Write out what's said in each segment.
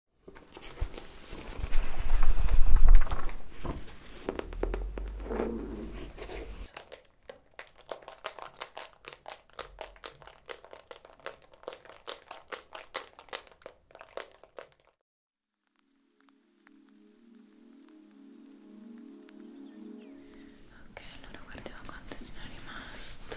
Ok, allora guardiamo quanto ce n'è rimasto.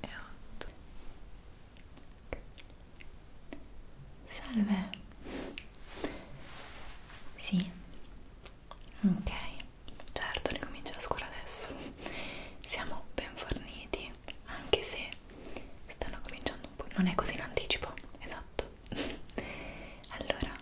e 8 salve sì ok certo ricomincia la scuola adesso siamo ben forniti domani anche se stanno cominciando un po' non è così in anticipo esatto allora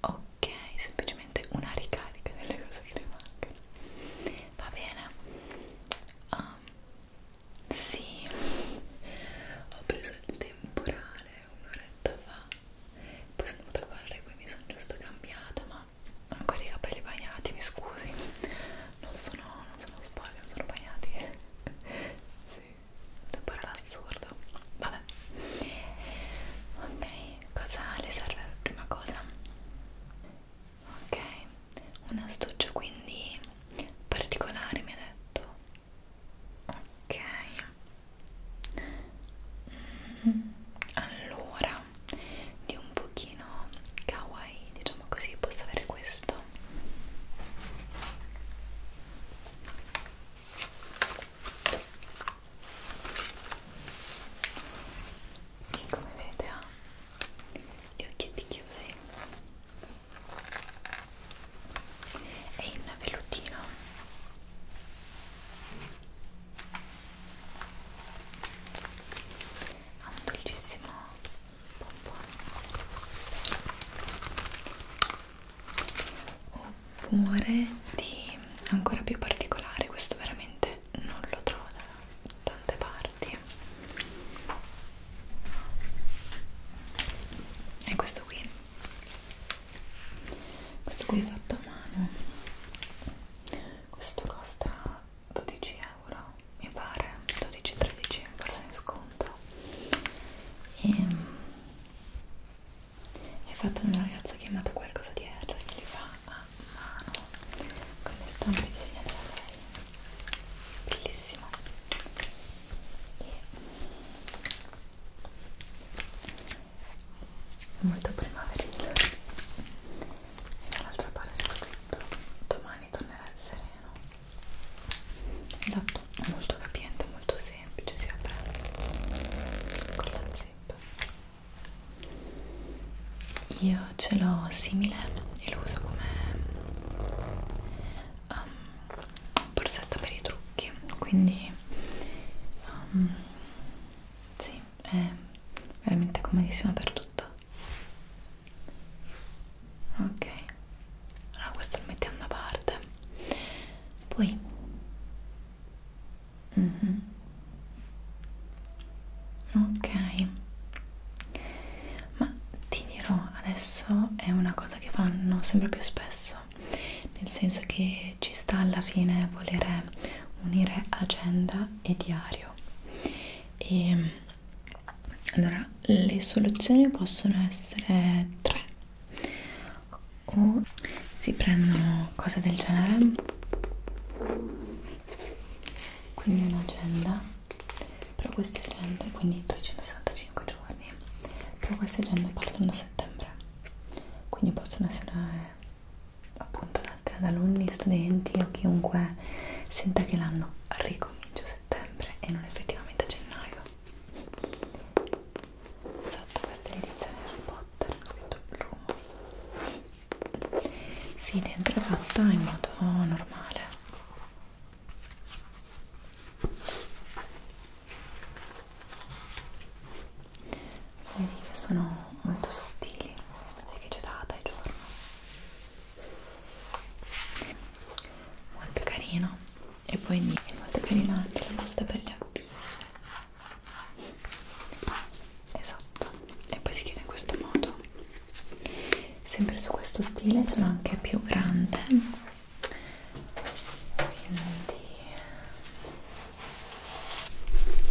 ok semplicemente una ricarica delle cose che le mancano va bene um, sì ho preso il temporale un'oretta fa poi sono venuta a correre poi mi sono giusto cambiata ma ho ancora i capelli bagnati, mi scusi non sono, non sono sporchi, non sono bagnati sì, devo parlare assurdo vabbè ok, cosa le serve la prima cosa? ok, un astuccio quindi particolare mi ha detto ok mm, allora ombra di un pochino kawaii diciamo così posso avere questo che come vedete ha gli occhietti chiusi e in vellutino ha ah, un dolcissimo pompon oppure di ancora più particolare questo veramente non lo trovo da tante parti e questo qui questo qui è fatto a mano questo costa 12 euro mi pare 12-13 forse in sconto e è fatto da una ragazza chiamata qualcosa di R che li fa a mano con le stampe disegnate da lei bellissimo e molto primaverile dall'altra parte c'è scritto domani tornerà il sereno esatto è molto capiente molto semplice si apre con la zip io ce l'ho simile e lo uso come um, borsetta per i trucchi quindi um, sì è veramente comodissima per tutto ok allora questo lo mettiamo da parte poi mm -hmm. ok ma ti dirò adesso è una cosa che fanno sempre più spesso nel senso che ci sta alla fine volere unire agenda e diario e allora le soluzioni possono essere tre o si prendono cose del genere quindi un'agenda però questa agenda quindi 365 giorni però queste agende partono da settembre quindi possono essere appunto date ad alunni, studenti o chiunque senta che l'anno ricomincia a settembre e non effettivamente a gennaio esatto, questa è l'edizione Harry Potter scritto Lumos si, sì, dentro è fatta in modo normale vedi che sono molto sottili vedete che c'è data e giorno molto carino e poi mi è molto carina anche la pasta per le appiglio esatto e poi si chiude in questo modo sempre su questo stile ce l'ho anche più grande quindi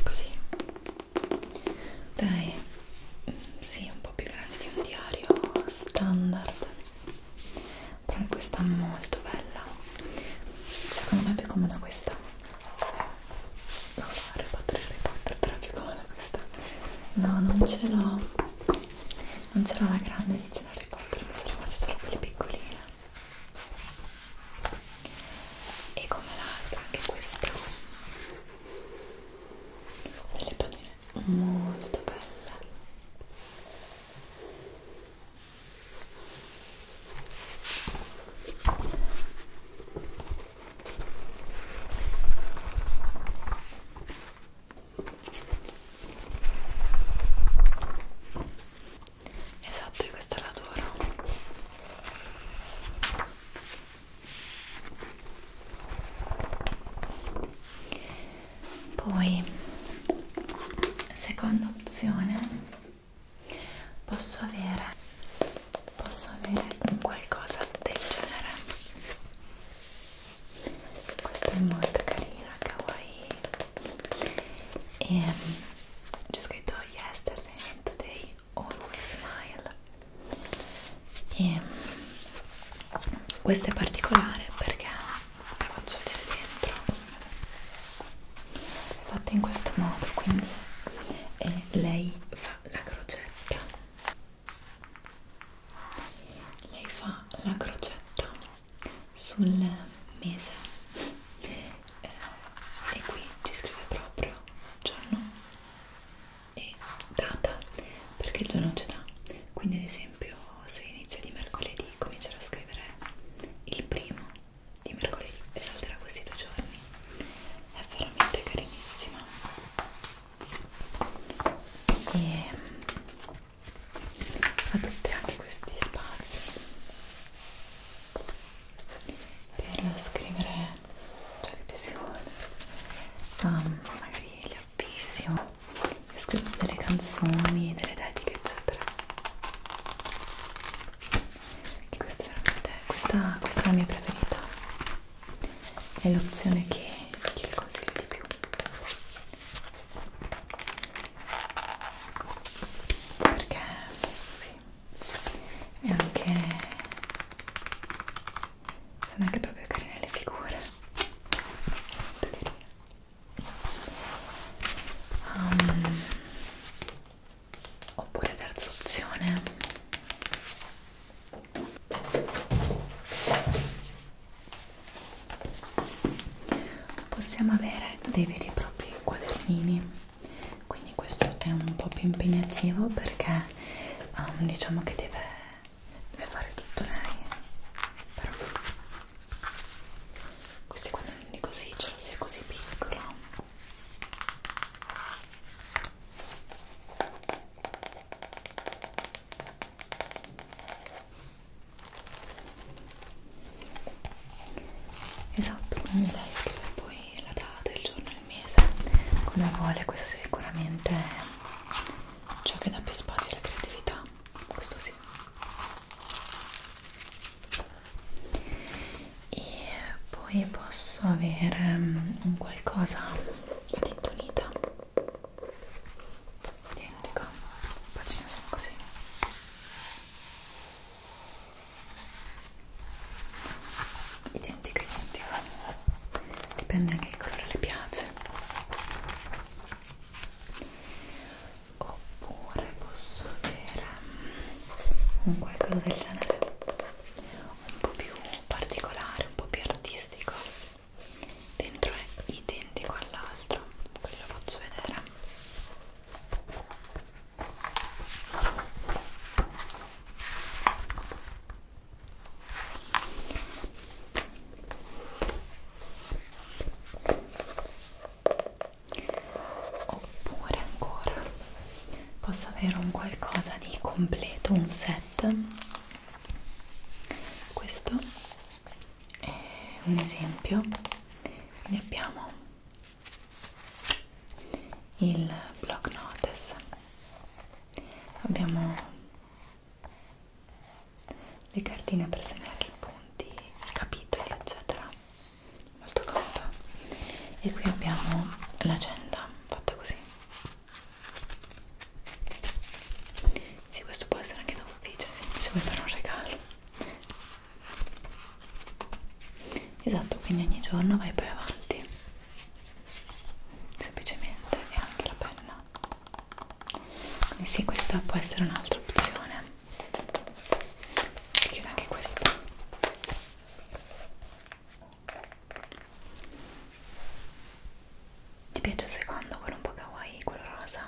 così dai sì, un po' più grande di un diario standard però è questa molto bella secondo me è più comoda questa non so, Harry Potter, Harry Potter però è più comoda questa no, non ce l'ho non ce l'ho la grande edizione Harry Potter mi sono rimasta solo quelle piccoline e come l'altra anche questa delle pagine molto belle Esatto, e questa è la tua. Poi, seconda opzione, posso avere, posso avere un qualcosa del genere. Questa è molto carina, kawaii. E ehm, c'è scritto yesterday and today Always Smile e questa è particolare perché la faccio vedere dentro è fatta in questo modo quindi e lei fa la crocetta lei fa la crocetta sul mese eh, e qui ci scrive proprio giorno e data perché il giorno ce l'ha quindi ad esempio se inizia di mercoledì comincerà a scrivere il primo di mercoledì e salterà questi due giorni è veramente carinissima e ha mm, tutte anche questi spazi per scrivere ciò che più si vuole um, magari gli avvisi o scrivo delle canzoni, delle dediche eccetera e questa veramente questa, questa è la mia preferita è l'opzione che, che le consiglio di più perché sì e anche sono anche proprio carine le figure um, oppure terza opzione possiamo avere dei veri e propri quadernini quindi questo è un po' più impegnativo perché um, diciamo che deve, deve fare tutto lei però questi quadroni così ce lo sia così piccolo esatto quindi lei scrive poi la data, il giorno, il mese, come vuole, questo sicuramente è ciò che dà più spazio alla creatività, questo sì. E poi posso avere mm, un qualcosa a tintonita identico, pagine sono così identica identica dipende anche che colore le piace oppure posso avere un mm, qualcosa del genere un po' più particolare un po' più artistico dentro è identico all'altro ve lo faccio vedere oppure ancora posso avere un qualcosa di completo un set questo è un esempio ne abbiamo il block notice abbiamo le cartine per segnare i punti, i capitoli eccetera molto comodo e qui abbiamo l'agenda fatta così sì questo può essere anche da ufficio se vuoi fare un regalo esatto quindi ogni giorno vai poi avanti semplicemente e anche la penna quindi sì questa può essere un'altra opzione chiudo anche questa ti piace il secondo quello un po' kawaii quello rosa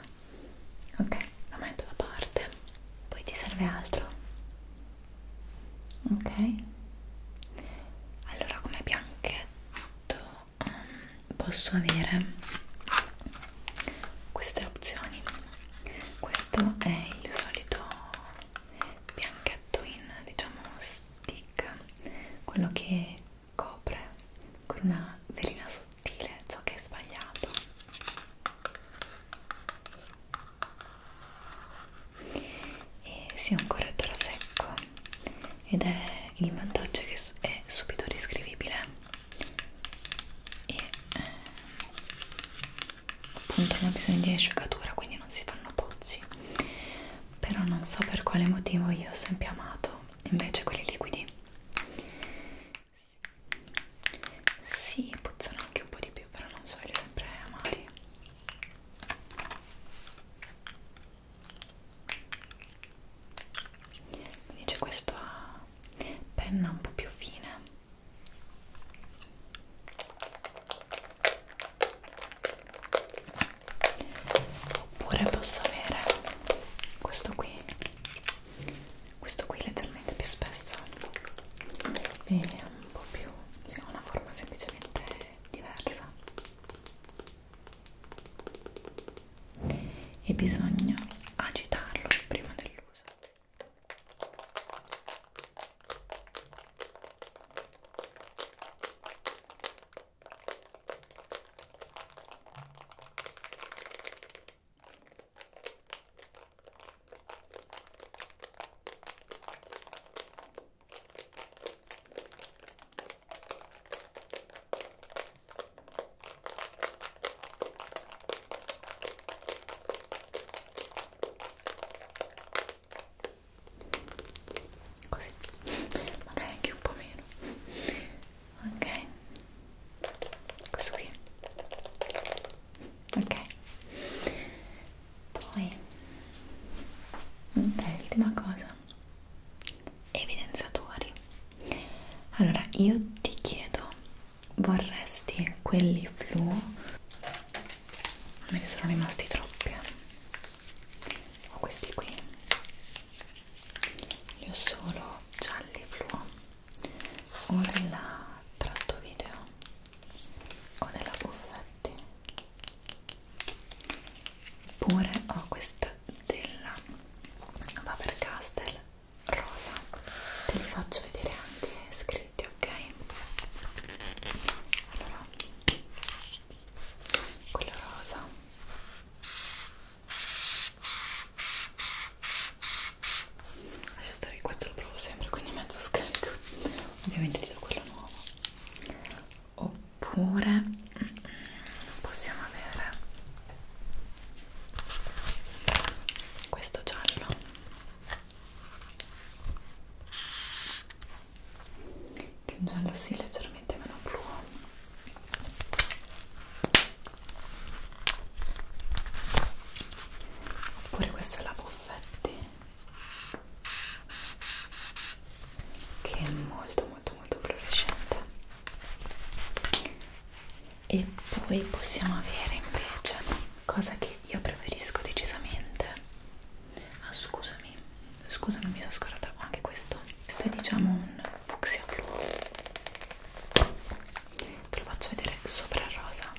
ok la metto da parte poi ti serve altro ok allora come bianchetto um, ehm, posso avere queste opzioni questo è il solito bianchetto in diciamo stick quello che copre con una velina sottile ciò che è sbagliato e si è un correttore a secco ed è il vantaggio che è subito riscrivibile e eh, appunto non ho bisogno di asciugatura quindi non si fanno pozzi però non so per quale motivo io ho sempre amato invece quelli liquidi sì, puzzano anche un po' di più, però non so, li ho sempre amati mi dice questa ah, penna un po' più fine oppure posso avere questo qui questo qui leggermente più spesso e un po' più, cioè una forma semplicemente diversa e bisogna agitarlo prima dell'uso Così, magari anche un po' meno. Ok, questo qui. Ok, poi l'ultima cosa evidenziatori allora io ti chiedo vorresti quelli fluo me ne sono rimasti troppi eh. ho questi qui li ho solo gialli fluo uno della tratto video o della Buffetti pure ho questa della Faber Castell rosa te li faccio vedere anche scritti ok allora quello rosa lascia stare che questo lo provo sempre quindi mezzo scarico ovviamente ti do quello nuovo oppure mm, possiamo avere questo giallo che è un giallo sì leggermente meno blu oppure questo è la buffetti che è molto molto molto fluorescente e poi possiamo avere invece cosa che io preferisco decisamente ah scusami scusa non mi sono scordata anche questo questo è diciamo un fucsia fluo te lo faccio vedere sopra il rosa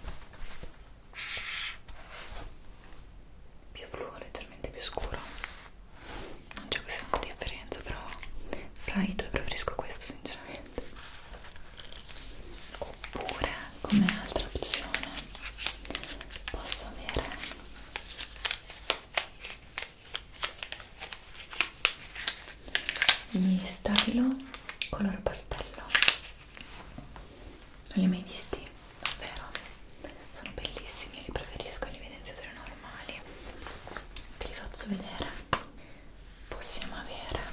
più fluo, leggermente più scuro non c'è questa grande differenza però fra i due preferisco questo sinceramente oppure come altra opzione posso avere gli stabilo color pastello non li hai mai visti? Davvero? Sono bellissimi, io li preferisco agli evidenziatori normali. Te li faccio vedere. Possiamo avere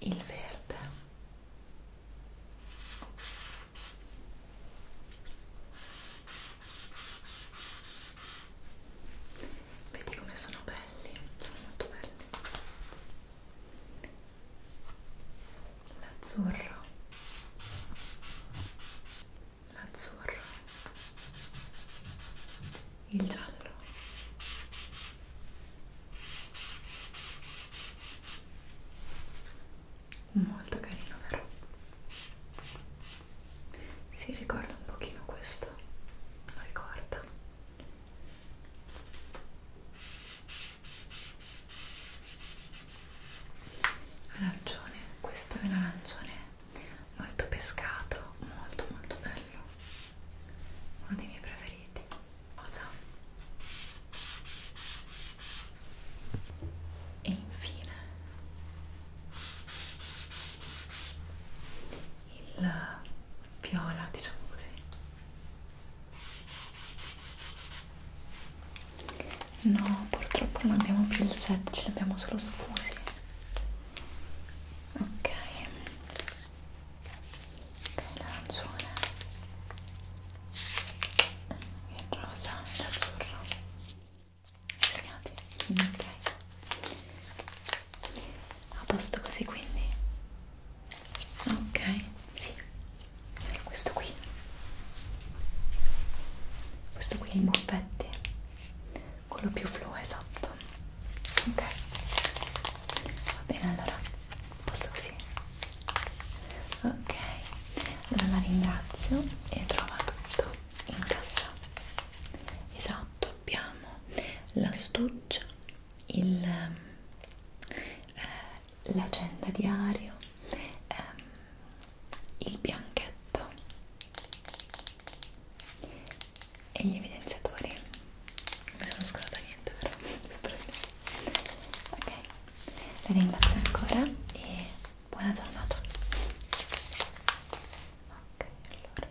il verde Vedi come sono belli, sono molto belli. L'azzurro. L'azzurro. Il giallo. Molto carino, vero? si ricorda un pochino questo lo ricorda arancione questo è un arancione molto pescato molto molto bello uno dei miei preferiti rosa e infine il viola, diciamo così. No, purtroppo non abbiamo più il set, ce l'abbiamo solo sfusi. Ok. Ok, l'arancione. Il rosa e l'azzurro. Sognati? Ok. A posto così quindi? Ok, sì. Questo qui. Questo qui è in buffetti. Quello più fluo, esatto. Ok. Va bene allora. A posto così. Ok. Allora la ringrazio e trova tutto in cassa. Esatto lato abbiamo l'astuccia, eh, l'agenda eh, diario, ehm, il bianchetto e gli evidenziatori. Non mi sono scordata niente però. ok, la ringrazio ancora e buona giornata. Ok, allora.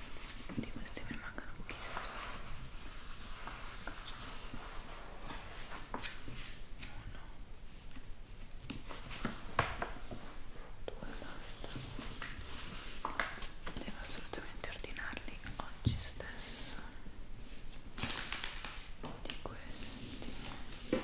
di questi mi mancano pochissimo uno due basta devo assolutamente ordinarli oggi stesso di questi uno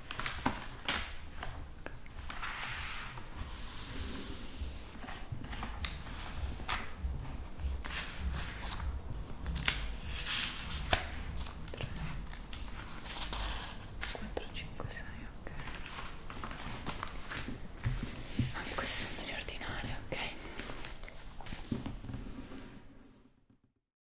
4, 5, 6, ok anche questi sono degli ordinari, ok